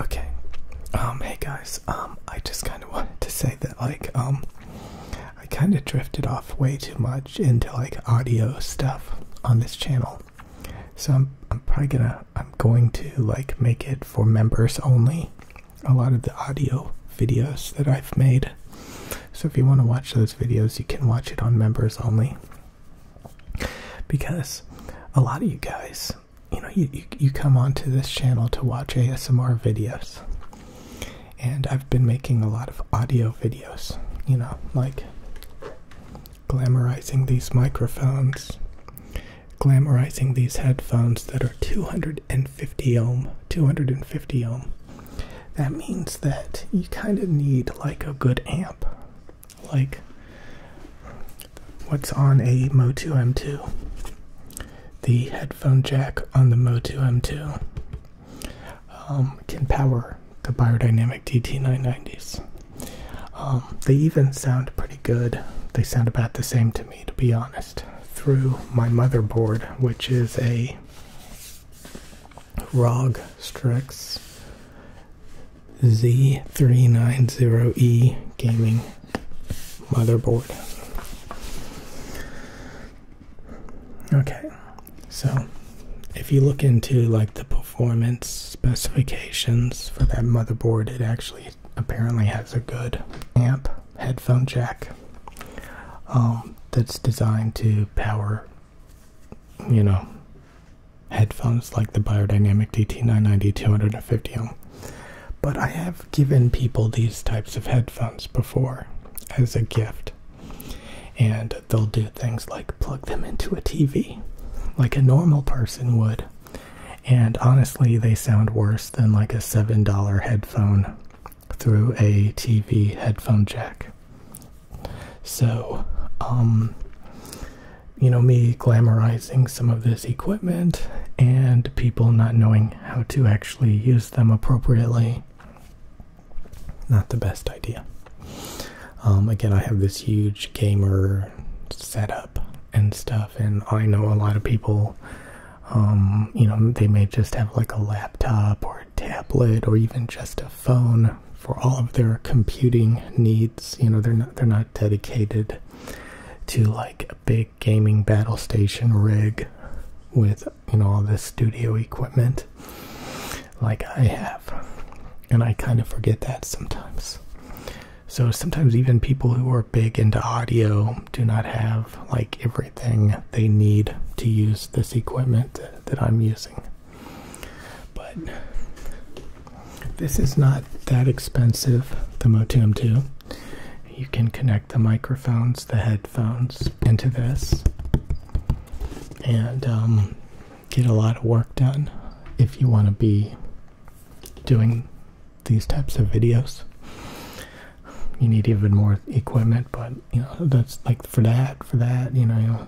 Okay. Um, hey guys. Um, I just kind of wanted to say that, like, um, I kind of drifted off way too much into like audio stuff on this channel. So I'm probably gonna, I'm going to like make it for members only. A lot of the audio videos that I've made. So if you want to watch those videos, you can watch it on members only because a lot of you guys, you know, you, you, come onto this channel to watch ASMR videos, and I've been making a lot of audio videos, you know, like glamorizing these microphones, glamorizing these headphones that are 250 ohm, 250 ohm. That means that you kind of need like a good amp like what's on a Mo2 M2, the headphone jack on the Mo2 M2 um, can power the Biodynamic DT990s. Um, they even sound pretty good. They sound about the same to me, to be honest. Through my motherboard, which is a ROG Strix Z390E gaming motherboard. Okay, so if you look into like the performance specifications for that motherboard, it actually apparently has a good amp headphone jack um, that's designed to power, you know, headphones like the Biodynamic DT990 250 ohm, But I have given people these types of headphones before as a gift. And they'll do things like plug them into a TV, like a normal person would. And honestly, they sound worse than like a $7 headphone through a TV headphone jack. So, um, you know, me glamorizing some of this equipment and people not knowing how to actually use them appropriately, not the best idea. Um, again, I have this huge gamer setup and stuff, and I know a lot of people. Um, you know, they may just have like a laptop or a tablet or even just a phone for all of their computing needs. You know, they're not they're not dedicated to like a big gaming battle station rig with you know all this studio equipment like I have. And I kind of forget that sometimes. So sometimes even people who are big into audio do not have like everything they need to use this equipment that I'm using. But this is not that expensive, the Motum 2. You can connect the microphones, the headphones into this, and um, get a lot of work done if you want to be doing these types of videos. You need even more equipment, but you know, that's like for that, for that, you know,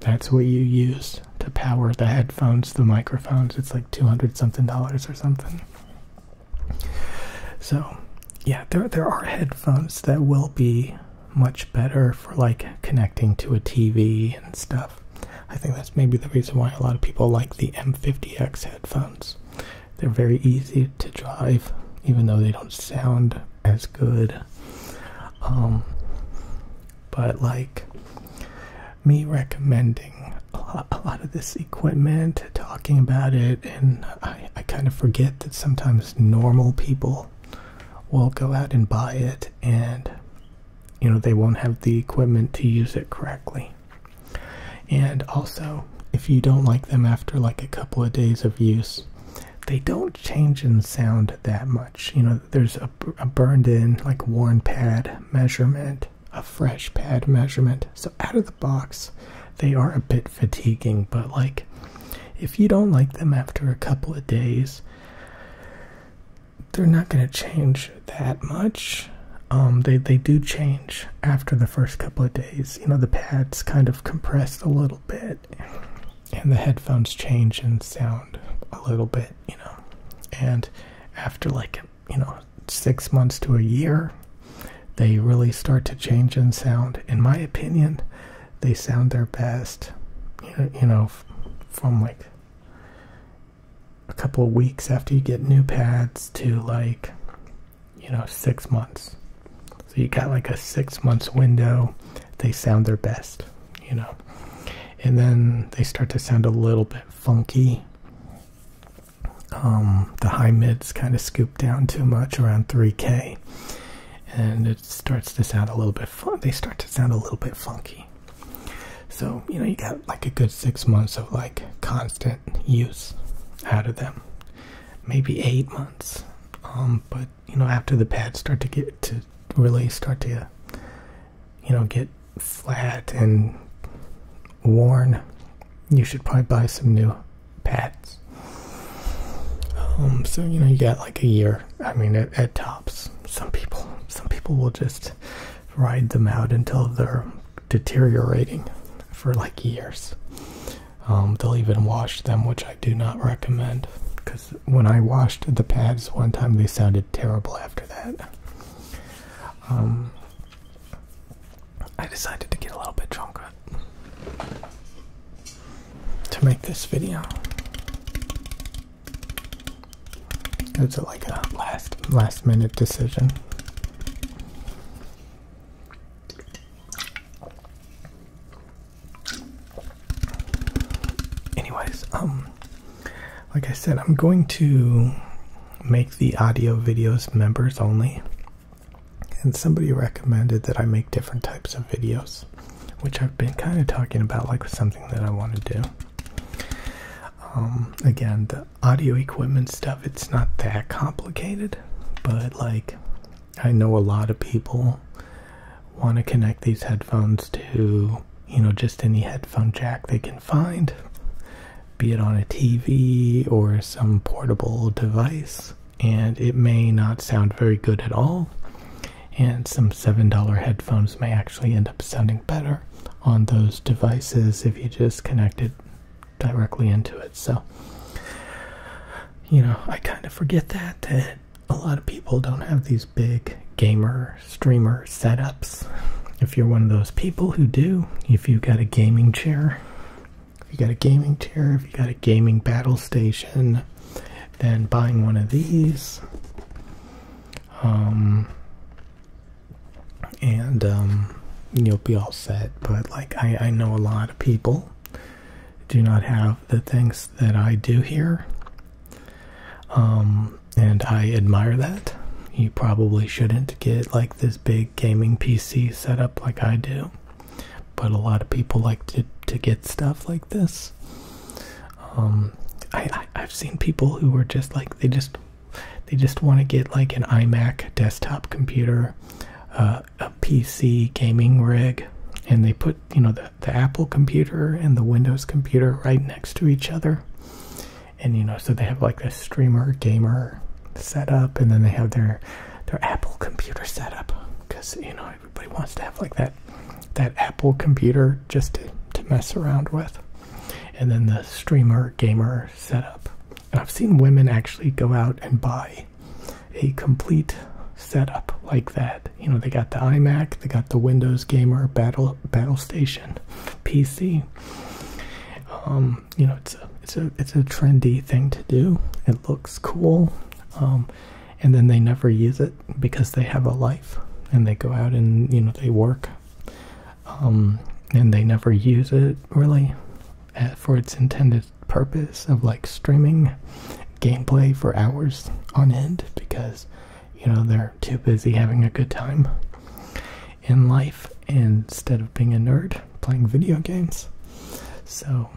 that's what you use to power the headphones, the microphones. It's like 200 something dollars or something. So, yeah, there there are headphones that will be much better for like connecting to a TV and stuff. I think that's maybe the reason why a lot of people like the M50X headphones. They're very easy to drive, even though they don't sound as good. Um, but like me recommending a lot, of this equipment, talking about it, and I, I kind of forget that sometimes normal people will go out and buy it and you know they won't have the equipment to use it correctly. And also, if you don't like them after like a couple of days of use, they don't change in sound that much. You know, there's a, burned in, like worn pad measurement, a fresh pad measurement. So, out of the box, they are a bit fatiguing, but like if you don't like them after a couple of days, they're not going to change that much. Um, they, they do change after the first couple of days. You know, the pads kind of compress a little bit and the headphones change in sound a little bit, you know. And after like, you know, six months to a year, they really start to change in sound. In my opinion, they sound their best, you know, from like a couple of weeks after you get new pads to like, you know, six months. So you got like a six months window they sound their best, you know. And then they start to sound a little bit funky. Um, the high mids kind of scoop down too much around 3K, and it starts to sound a little bit fun. They start to sound a little bit funky. So you know you got like a good six months of like constant use out of them, maybe eight months. Um, but you know after the pads start to get to really start to you know get flat and worn, you should probably buy some new pads. Um, so you know you got like a year. I mean at, tops. Some people some people will just ride them out until they're deteriorating for like years. Um, they'll even wash them, which I do not recommend because when I washed the pads one time, they sounded terrible after that. Um, I decided to get a little bit drunk to make this video. It's like a last last minute decision. Anyways, um, like I said, I'm going to make the audio videos members only. And somebody recommended that I make different types of videos, which I've been kind of talking about, like something that I want to do. Um, again, the audio equipment stuff, it's not that complicated, but like I know a lot of people want to connect these headphones to, you know, just any headphone jack they can find, be it on a TV or some portable device, and it may not sound very good at all. And some $7 headphones may actually end up sounding better on those devices if you just connect it directly into it. So, you know, I kind of forget that a lot of people don't have these big gamer streamer setups. If you're one of those people who do, if you have got a gaming chair, if you got a gaming chair, if you got a gaming battle station, then buying one of these. Um and um, you'll be all set but like I, I know a lot of people do not have the things that I do here. Um, and I admire that. You probably shouldn't get like this big gaming PC setup like I do, but a lot of people like to, to get stuff like this. Um, I, I have seen people who are just like they just they just want to get like an iMac desktop computer, uh, a PC gaming rig, and they put you know the the Apple computer and the Windows computer right next to each other. And you know, so they have like a streamer gamer setup, and then they have their their Apple computer setup because you know everybody wants to have like that that Apple computer just to, to mess around with, and then the streamer gamer setup. And I've seen women actually go out and buy a complete setup like that. You know, they got the iMac, they got the Windows Gamer Battle Battle Station PC. Um, you know, it's a it's a it's a trendy thing to do. It looks cool, um, and then they never use it because they have a life and they go out and you know they work, um, and they never use it really eh, for its intended purpose of like streaming gameplay for hours on end because you know they're too busy having a good time in life instead of being a nerd playing video games so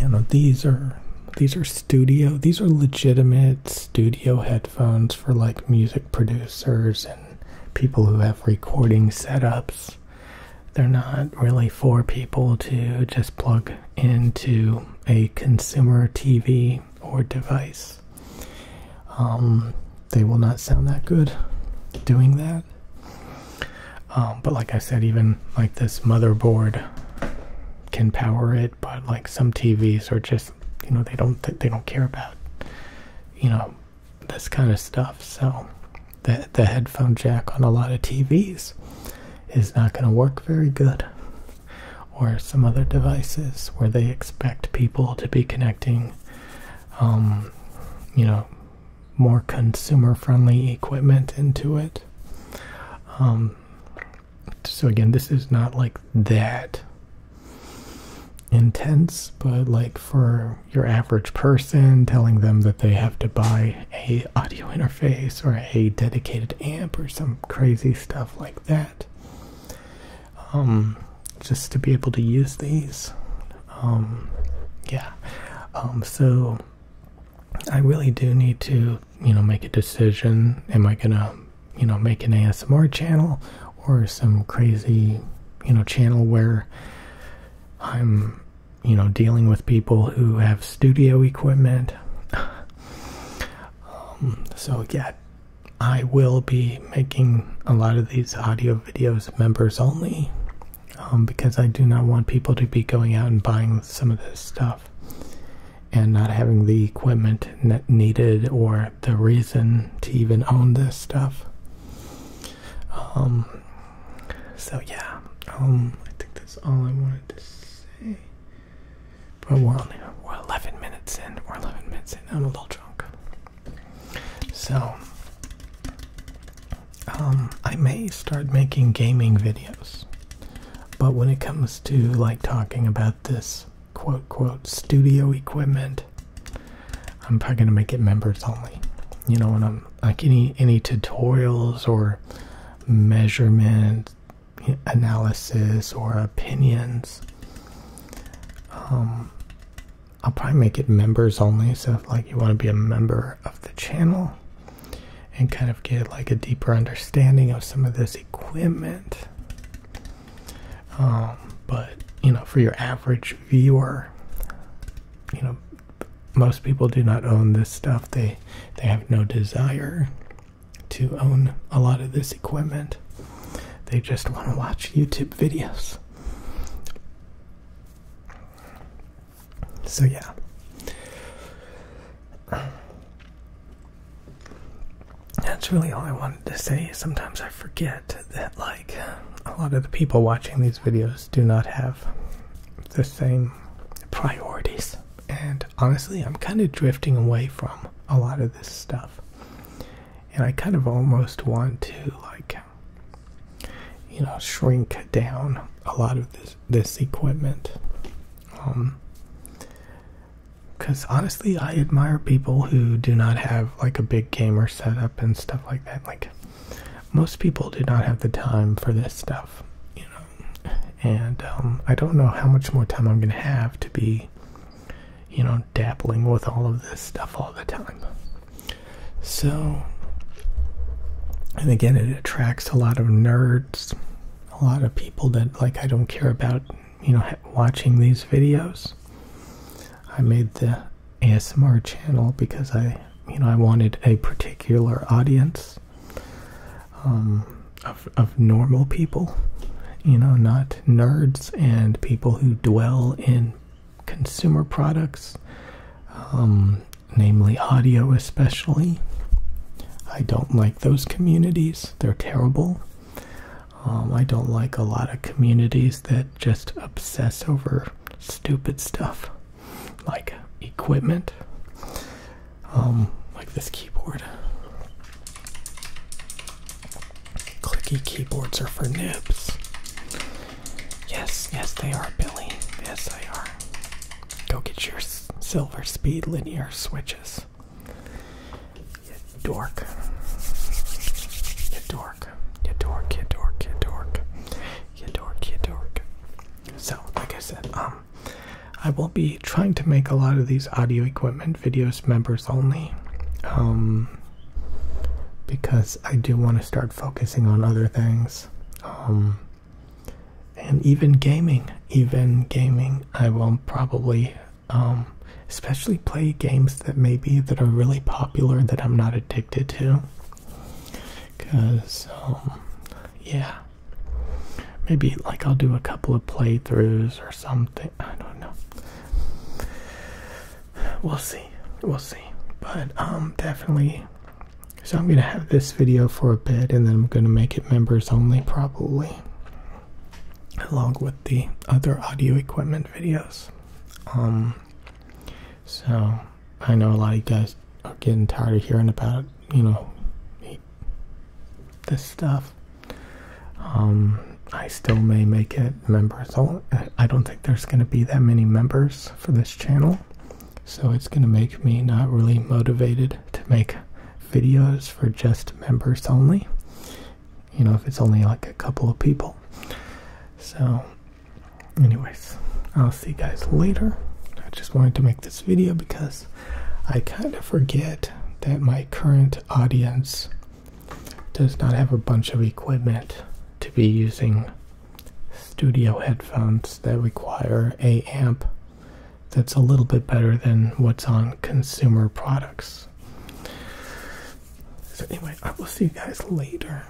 you know these are these are studio these are legitimate studio headphones for like music producers and people who have recording setups they're not really for people to just plug into a consumer TV or device. Um, they will not sound that good doing that. Um, but like I said, even like this motherboard can power it, but like some TVs are just you know they don't they don't care about you know this kind of stuff. So the the headphone jack on a lot of TVs is not going to work very good. Or some other devices where they expect people to be connecting, um, you know, more consumer friendly equipment into it. Um, so, again, this is not like that intense, but like for your average person, telling them that they have to buy a audio interface or a dedicated amp or some crazy stuff like that um, just to be able to use these um, yeah um, so i really do need to you know make a decision am i gonna you know make an asmr channel or some crazy you know channel where i'm you know, dealing with people who have studio equipment. Um, so, yeah, I will be making a lot of these audio videos members only um, because I do not want people to be going out and buying some of this stuff and not having the equipment needed or the reason to even own this stuff. Um, so yeah, um, I think that's all I wanted to say. But we're only we're 11 minutes in. We're 11 minutes in. I'm a little drunk. So, um, I may start making gaming videos, but when it comes to like talking about this quote quote studio equipment, I'm probably gonna make it members only. You know, and I'm like any any tutorials or measurement analysis or opinions. Um, I'll probably make it members only. So, like, you want to be a member of the channel and kind of get like a deeper understanding of some of this equipment. Um, but you know, for your average viewer, you know, most people do not own this stuff. They they have no desire to own a lot of this equipment. They just want to watch YouTube videos. So yeah. That's really all I wanted to say. Sometimes I forget that like a lot of the people watching these videos do not have the same priorities. And honestly, I'm kind of drifting away from a lot of this stuff. And I kind of almost want to, like, you know, shrink down a lot of this, this equipment. Um, because honestly, I admire people who do not have like a big gamer setup and stuff like that. Like, most people do not have the time for this stuff, you know. And um, I don't know how much more time I'm going to have to be, you know, dabbling with all of this stuff all the time. So, and again, it attracts a lot of nerds, a lot of people that, like, I don't care about, you know, watching these videos. I made the ASMR channel because I, you know, I wanted a particular audience. Um, of, of normal people, you know, not nerds and people who dwell in consumer products, um, namely audio especially. I don't like those communities, they're terrible. Um, I don't like a lot of communities that just obsess over stupid stuff like equipment, um, like this keyboard. Clicky keyboards are for nibs. Yes, yes, they are, Billy. Yes, they are. Go get your silver speed linear switches. You dork. You dork. You dork. dork. dork you dork, you dork. So, like I said, um, I will be trying to make a lot of these audio equipment videos members only, um, because I do want to start focusing on other things, um, and even gaming. Even gaming, I will probably, um, especially play games that maybe that are really popular that I'm not addicted to, because um, yeah. Maybe like I'll do a couple of playthroughs or something. I don't know. We'll see. We'll see. But um definitely so I'm gonna have this video for a bit and then I'm gonna make it members only probably along with the other audio equipment videos. Um, so I know a lot of you guys are getting tired of hearing about, you know, this stuff. Um, I still may make it members. only. I don't think there's going to be that many members for this channel. So it's going to make me not really motivated to make videos for just members only. You know, if it's only like a couple of people. So anyways, I'll see you guys later. I just wanted to make this video because I kind of forget that my current audience does not have a bunch of equipment to be using studio headphones that require a amp that's a little bit better than what's on consumer products. anyway, I will see you guys later.